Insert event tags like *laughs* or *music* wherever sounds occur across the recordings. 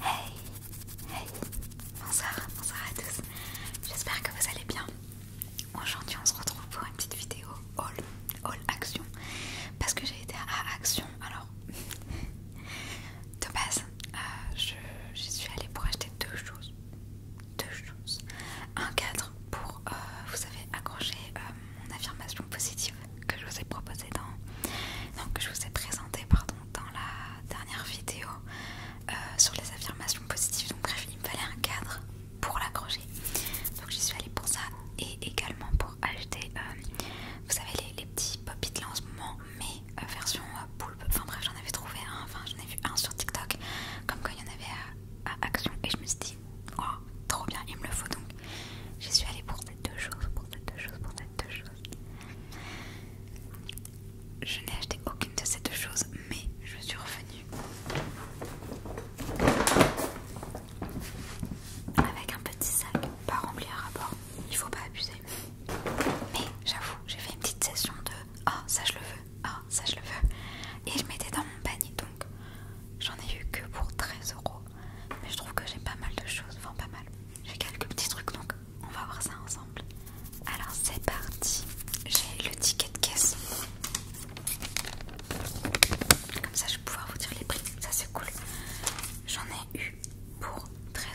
Hey, hey, bonsoir, bonsoir à tous, j'espère que vous allez bien. Aujourd'hui on se retrouve pour une petite vidéo haul, haul action, parce que j'ai été à Action, alors *laughs* de base euh, je, suis allée pour acheter deux choses, deux choses, un cadre pour, euh, vous savez, accrocher euh, mon affirmation positive que je vous ai proposée dans, donc que je vous ai présenté, pardon dans la dernière vidéo euh, sur les affirmations positives. Donc bref, il me fallait un cadre pour l'accrocher. Donc j'y suis allée pour ça et également pour acheter, euh, vous savez, les, petits pop-it là en ce moment, mais euh, version poulpe. Enfin bref, j'en avais trouvé un, enfin j'en ai vu un sur TikTok, comme quand il y en avait à, Action. Et je me suis dit, oh, trop bien, il me le faut donc. J'y suis allée pour deux choses, pour des deux choses, pour deux choses. Je n'ai acheté aucune de ces deux choses, mais je suis revenue avec un petit sac, pas rempli à rapport, il faut pas abuser. Mais j'avoue, j'ai fait une petite session de ah ça je le veux, ah ça je le veux, et je mettais dans mon panier donc j'en ai eu que pour 13 euros, mais je trouve que j'ai pas mal de choses, enfin pas mal. J'ai quelques petits trucs donc on va voir ça ensemble. Alors c'est parti. J'ai le ticket de caisse. Comme ça je vais pouvoir vous dire les prix. Ça c'est cool. J'en ai eu pour 13,48€.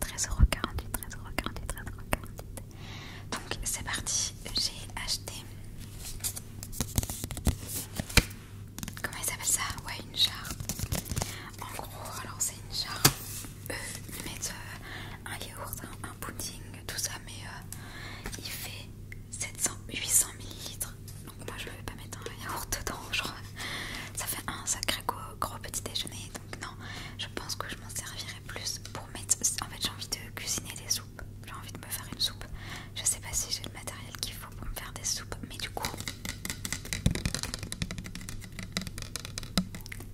13,48€. 13,48€. 13,48€. Donc c'est parti. J'ai acheté comment ils appellent ça Ouais, une jarre. En gros, alors c'est une jarre. Eux, ils mettent euh, un yaourt, un, pudding, tout ça, mais euh, il fait 700, 800 ml. Donc moi je ne vais pas mettre un yaourt dedans, *laughs* genre ça fait un sacré gros petit déjeuner. Donc non, je pense que je m'en servirai plus pour mettre. En fait, j'ai envie de cuisiner des soupes. J'ai envie de me faire une soupe. Je sais pas si j'ai le matériel qu'il faut pour me faire des soupes, mais du coup,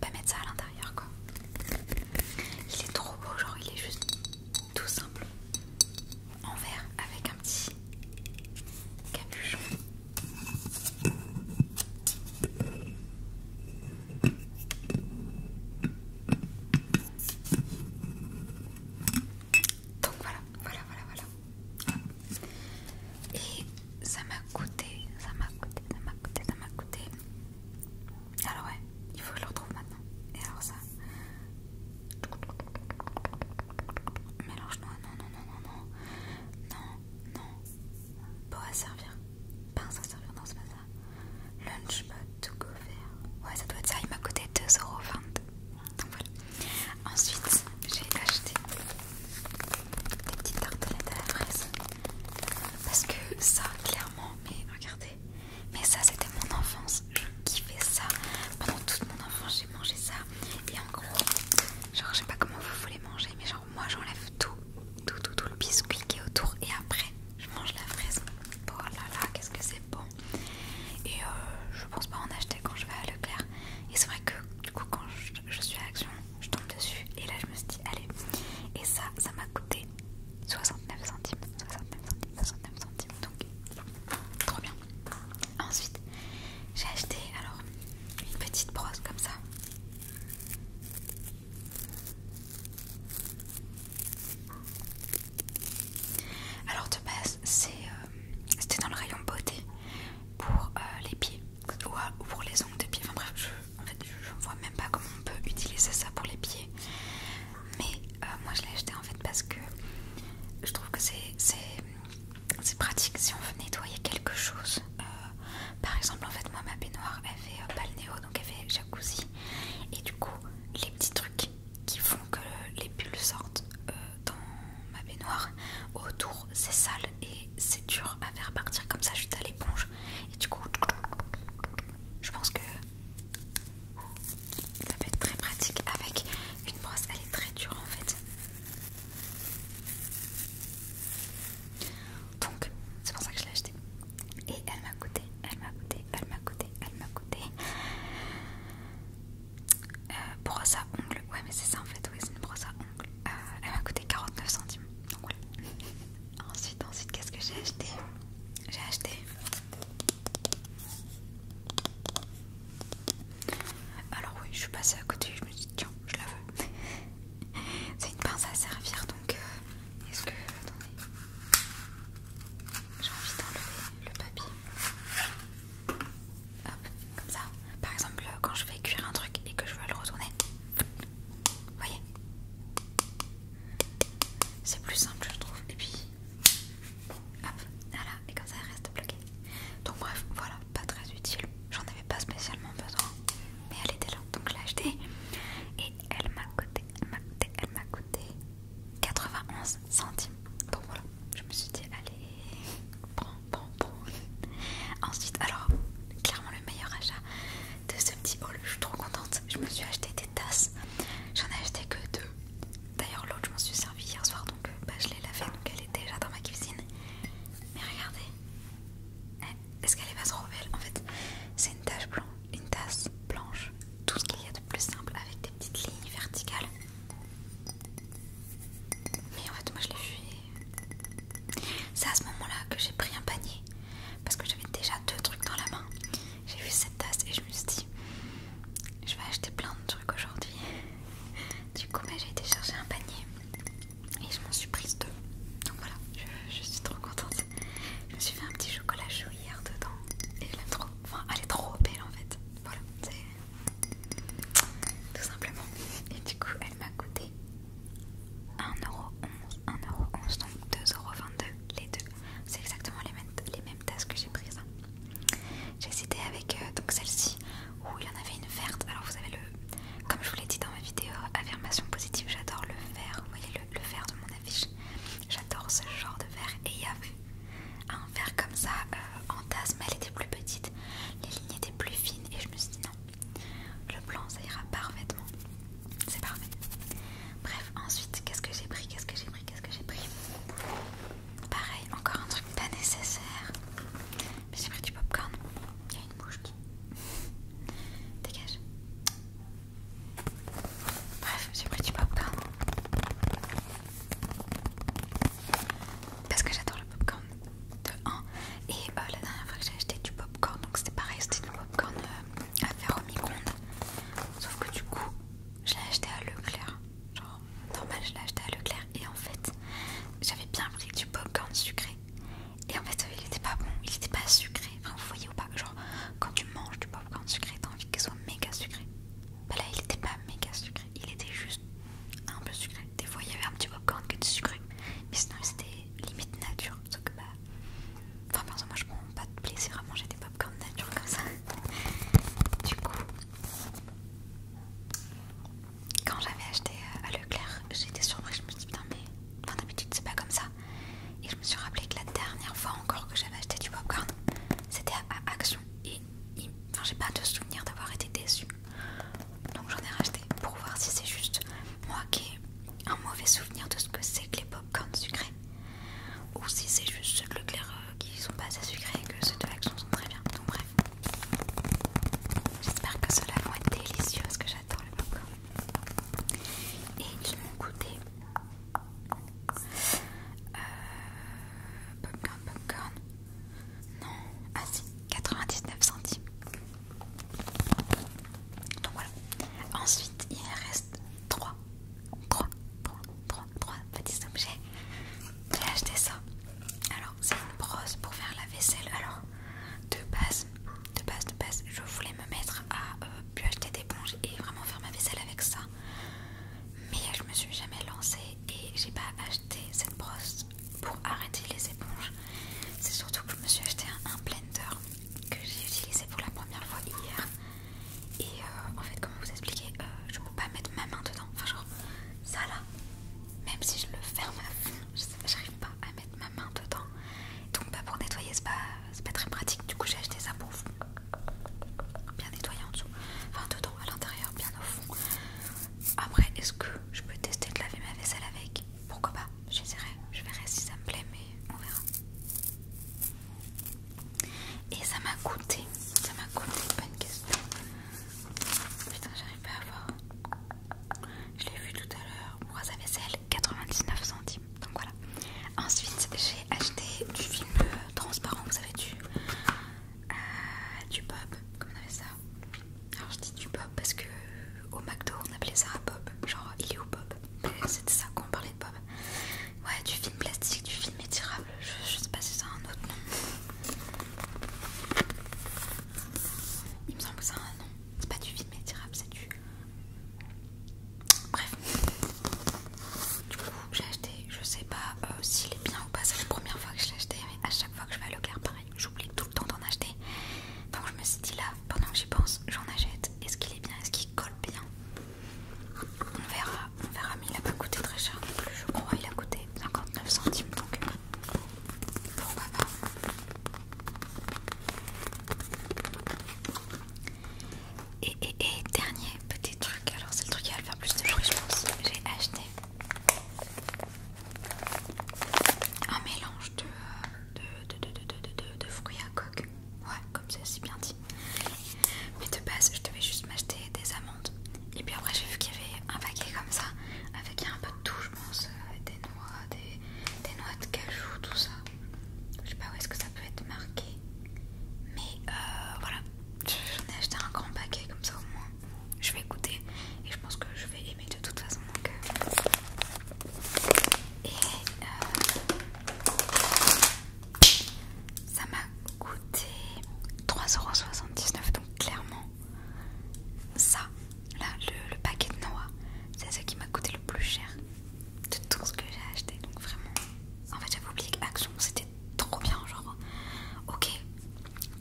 pas mettre ça à l'intérieur quoi. Il est trop beau, genre il est juste tout simple en verre avec un petit capuchon. Donc voilà, voilà, voilà, voilà. Et ça m'a coûté, ça m'a coûté, ça m'a coûté, ça m'a coûté. Alors ouais, il faut que je le retrouve maintenant. Et alors ça... Mélange-moi, non, non, non, non, non. Non, non. Pas à servir. pas à servir, dans ce pas ça. Lunchbot to go Ouais, ça doit être ça, il m'a coûté 2,20€ voilà. Ensuite, j'ai acheté des petites tartelettes à la fraise. Parce que ça, clairement, mais regardez, mais ça c'était mon enfance. Je kiffais ça. Pendant toute mon enfance, j'ai mangé ça. Et en gros, genre, je sais pas comment vous voulez manger, mais genre, moi j'enlève tout, tout, tout, tout le biscuit qui est autour. Et après, je mange la fraise. Oh là là, qu'est-ce que c'est Bon, et euh, je pense pas en acheter quand je vais à Leclerc. Et c'est vrai que du coup, quand je, suis à l'action, je tombe dessus. Et là, je me suis dit, allez. Et ça, ça m'a coûté 69 centimes. 69 centimes, 69 centimes. Donc, trop bien. Ensuite, j'ai acheté alors une petite brosse comme ça. Alors de base euh, c'était dans le rayon beauté pour euh, les pieds euh, ou pour les ongles de pieds, Enfin bref, je, ne vois même pas comment on peut utiliser ça pour les pieds. Mais moi je l'ai acheté en fait parce que je trouve que c'est pratique si on veut nettoyer quelque chose. par exemple en fait moi ma baignoire elle fait donc elle fait jacuzzi et du coup les petits trucs qui font que les bulles sortent euh, dans ma baignoire autour c'est sale et c'est dur à faire partir comme ça juste à l'éponge et du coup je pense que ça peut être très pratique avec une brosse elle est très dure en fait donc c'est pour ça que je l'ai acheté et elle m'a coûté elle m'a coûté elle m'a coûté elle m'a coûté euh, brosse à ongles. Ouais, mais c'est ça en fait, oui, c'est une brosse à ongles. Euh, elle m'a coûté 49 centimes. Donc *laughs* ensuite, ensuite, qu'est-ce que j'ai acheté J'ai acheté alors oui, je suis passée à côté, je me suis dit tiens, je la veux. *laughs* C'est une pince à servir, donc euh, est-ce que attendez, j'ai envie d'enlever le papier. Hop, comme ça. Par exemple, quand je vais cuire un truc et que je veux le retourner, vous voyez C'est plus simple, je trouve. Et puis, hop, voilà, et comme ça, elle reste bloquée. Donc, bref, voilà, pas très utile. J'en avais pas spécialement besoin, mais elle était là, donc je l'ai achetée. Et elle m'a coûté, elle m'a coûté, elle m'a coûté 91 centime. Bon voilà, je me suis dit allez, prends, prends, prends. Ensuite, alors clairement le meilleur achat de ce petit haul, je suis trop contente. Je me suis acheté des tasses, j'en ai acheté que deux. D'ailleurs l'autre je m'en suis servi hier soir donc euh, bah, je l'ai lavé, donc elle est déjà dans ma cuisine. Mais regardez, eh, est-ce qu'elle est pas trop belle En fait, c'est une tache blanche, une tasse blanche tout ce qu'il y a de plus simple avec des petites lignes verticales. Mais en fait, moi je l'ai vu c'est à ce moment-là que j'ai pris un panier parce que j'avais déjà deux trucs dans la main. J'ai vu cette tasse et je me suis dit, je vais acheter plein de trucs aujourd'hui. Du coup, mais bah, j'ai été chercher un panier et je m'en suis prise deux. Donc voilà, je, suis trop contente. Je me suis fait un petit chocolat chaud hier dedans et je l'aime trop. Enfin, elle est trop belle en fait. Voilà, c'est tout simplement. Et du coup, elle m'a coûté 1,11€, 1,11€, donc 2,22€ les deux. C'est exactement les mêmes, les mêmes tasses que j'ai prises. Hein. J'ai cité avec euh, donc celle-ci où il y en avait une verte. Alors, vous avez le. Comme je vous l'ai dit dans ma vidéo affirmation positive, j'adore le vert. Vous voyez le, le vert de mon J'adore ce genre de verre. Et il y avait un verre comme ça euh, en tasse, mais elle était plus petite. Les lignes étaient plus fines. Et je me suis dit non, le blanc ça ira parfaitement. C'est parfait. Bref, ensuite, qu'est-ce que j'ai pris Qu'est-ce que j'ai pris Qu'est-ce que j'ai pris Pareil, encore un truc pas nécessaire. Mais j'ai pris du pop-corn, Il y a une bouche qui. *laughs* Dégage. Bref, j'ai pris du pop-corn. Parce que j'adore le popcorn de 1. Et euh, la dernière fois que j'ai acheté du popcorn, donc c'était pareil, c'était du popcorn corn euh, à faire au micro-ondes. Sauf que du coup, je l'ai acheté à Leclerc. Genre, normal, je l'ai acheté à Leclerc. Et en fait, j'avais bien pris du popcorn sucré. Et en fait, il était pas bon, il était pas sucré. Enfin, vous voyez, ou Genre, quand tu manges du popcorn sucré, t'as envie qu'il soit méga sucré. Bah ben là, il était pas méga sucré, il était juste un peu sucré. Des fois, il y avait un petit popcorn qui était sucré, mais sinon, c'était limite nature. Sauf que bah. Enfin, perso, moi je prends pas de plaisir à manger des popcorn nature comme ça. *laughs* Du coup, quand j'avais acheté euh, à Leclerc, j'étais surprise. Je me suis dit, putain, mais. d'habitude, c'est pas comme ça. Et je me suis rappelé que la dernière fois encore que j'avais acheté du popcorn, c'était à, Action. Et, j'ai pas de souvenir d'avoir été déçue. Donc j'en ai racheté pour voir si c'est juste moi qui ai un mauvais souvenir de ce que c'est que les popcorns sucrés. Ou si c'est juste ceux de Leclerc euh, qui sont pas assez sucrés et que ceux de Action sont très bien. Donc bref. J'espère que cela va être délicieux parce que j'adore le popcorn. Et ils m'ont coûté euh, popcorn, popcorn. Non, ah si, 99 centimes. Donc voilà. Ensuite, il reste 3, 3, 3, 3, petits objets. J'ai acheté ça. Alors, c'est une brosse pour faire la vaisselle. Alors, de base, de base, de base, je voulais me mettre à euh, pu acheter d'éponge et vraiment faire ma vaisselle avec ça. Mais je me suis jamais lancée et j'ai pas acheté cette brosse pour arrêter les éponges. C'est surtout que je me suis acheté un, blender que j'ai utilisé pour la première fois hier. Et euh, en fait, comme vous expliquer, euh, je peux pas mettre ma main dedans. Enfin, genre ça là, même si je le ferme à j'arrive pas à mettre ma main dedans. Donc bah, pour nettoyer c'est pas, pas très pratique. Du coup j'ai acheté ça pour Bien nettoyer en dessous. Enfin dedans, à l'intérieur, bien au fond. Après est-ce que je peux tester de laver ma vaisselle avec Pourquoi pas J'essaierai, je verrai si ça me plaît mais on verra. Et ça m'a coûté, ça m'a coûté une question. Putain j'arrive pas à voir. Je l'ai vu tout à l'heure, pour sa vaisselle, 99 centimes. Donc voilà. Ensuite, j'ai acheté du film transparent, vous savez, du, euh, du Bob. Comment on appelle ça Alors je dis du Bob parce que au McDo on appelait ça Bob. Genre il est où Bob. C'était ça qu'on parlait de Bob. Ouais, du film plastique, du film étirable. Je, sais pas si ça a un autre nom. Il me semble que ça un nom. C'est pas du film étirable, c'est du Bref, du coup, j'ai acheté, je sais pas euh, s'il est bien ou pas, c'est la première fois que je l'ai acheté, mais à chaque fois que je vais à Leclerc, pareil, j'oublie tout le temps d'en acheter. Donc, je me suis dit là, pendant que j'y pense, j'en achète. Est-ce qu'il est bien Est-ce qu'il colle bien On verra, on verra, mais il a pas coûté très cher non plus, je crois. Il a coûté 59 centimes, donc pourquoi pas et, dernier petit truc, alors c'est le truc qui va le faire plus de bruit je pense. J'ai acheté un mélange de, de, fruits à coque. Ouais, comme c'est bien dit. Mais de base, je devais juste m'acheter des amandes. Et puis après, j'ai vu qu'il y avait un paquet comme ça, avec un peu de tout, je pense, euh, des noix, des des noix de cajou, tout ça. Je sais pas où est-ce que ça peut être marqué. Mais euh, voilà, j'en ai acheté un grand paquet comme ça au moins. Je vais goûter et je pense que je vais aimer de toute façon. mon cœur euh. Et euh, ça m'a coûté 3,79€. Donc clairement, ça, là, le, le paquet de noix, c'est ce qui m'a coûté le plus cher de tout ce que j'ai acheté. Donc vraiment, en fait j'avais oublié qu'Action c'était trop bien. Genre, ok,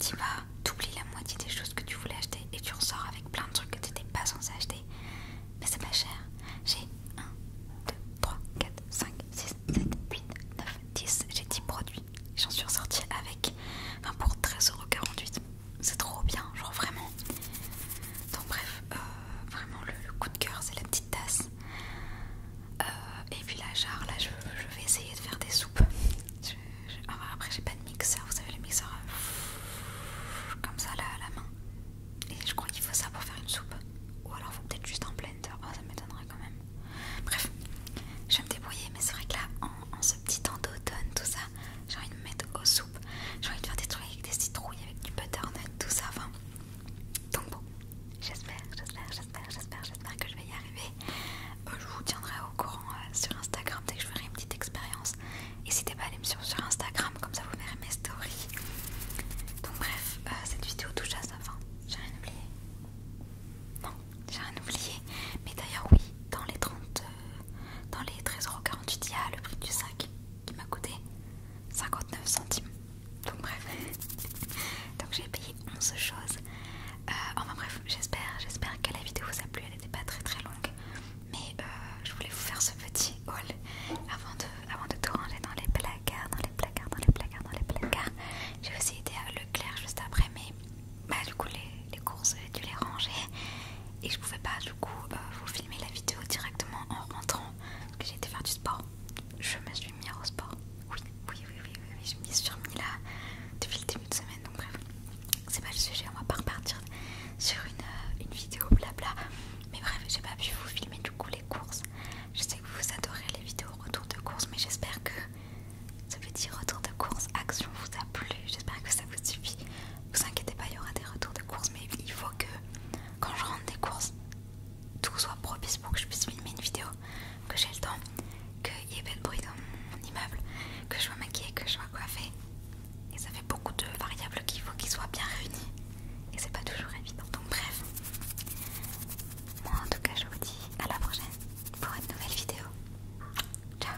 tu vas, t'oublies la moitié des choses que tu voulais acheter et tu ressors avec plein de trucs que t'étais pas censé acheter. Mais c'est pas cher. J'ai 1, 2, 3, 4, 5, 6, 7, 8, 9, 10. J'ai 10 produits. J'en suis ressortie avec, pour 13,48€ c'est trop bien, genre vraiment. Donc, bref, euh, vraiment le, coup de cœur, c'est la petite tasse. Euh, et puis la jarre, là je, vais essayer de faire des soupes. Ah, bah, après, j'ai pas de mixeur, vous savez, le mixeur euh, comme ça là à la main. Et je crois qu'il faut ça pour faire une soupe. Ou alors, faut peut-être juste en blender. Oh, ça m'étonnerait quand même. Bref, je vais me débrouiller, mais c'est vrai que là, en, ce petit temps d'automne, tout ça, j'ai envie de me mettre au soupes j'ai envie de faire des trucs avec des citrouilles, avec du butternut, tout ça. Enfin, donc bon, j'espère, j'espère, j'espère, j'espère, j'espère que je vais y arriver. Euh, je vous tiendrai au courant euh, sur Instagram dès que je ferai une petite expérience. N'hésitez pas à aller me suivre sur Instagram, comme ça vous verrez mes stories. Donc bref, euh, cette vidéo touche à sa fin. J'ai rien oublié. Non, j'ai rien oublié. Mais d'ailleurs oui, dans les 30, dans les 13 il 48 a le prix du sac qui m'a coûté 59 centimes. Donc bref, *laughs* donc j'ai payé 11 choses. Euh, enfin bref, j'espère, j'espère que la vidéo vous a plu. Elle n'était pas très très longue, mais euh, je voulais vous faire ce petit haul avant de, avant de tout ranger dans les placards, dans les placards, dans les placards, dans les placards. J'ai aussi aidé à Leclerc juste après, mais bah du coup les, les courses j'ai dû les ranger et je pouvais pas du coup euh, vous filmer la vidéo directement en rentrant parce que j'ai été faire du sport. Je me suis mis au sport. Oui, oui, oui, oui, oui, je me suis remis là depuis le début de semaine donc bref. C'est pas le sujet, on va pas repartir sur une, euh, une vidéo blabla. Mais bref, j'ai pas pu vous filmer du coup les courses. Je sais que vous adorez les vidéos retour de course, mais j'espère que ce petit retour de course action vous a plu. J'espère que ça vous suffit vous inquiétez pas, il y aura des retours de courses, mais il faut que quand je rentre des courses, tout soit propice pour que je puisse filmer une vidéo, que j'ai le temps, qu'il y ait pas de bruit dans mon immeuble, que je sois maquillée, que je sois coiffée. Et ça fait beaucoup de variables qu'il faut qu'ils soient bien réunis. Et c'est pas toujours évident. Donc bref. Moi en tout cas je vous dis à la prochaine pour une nouvelle vidéo. Ciao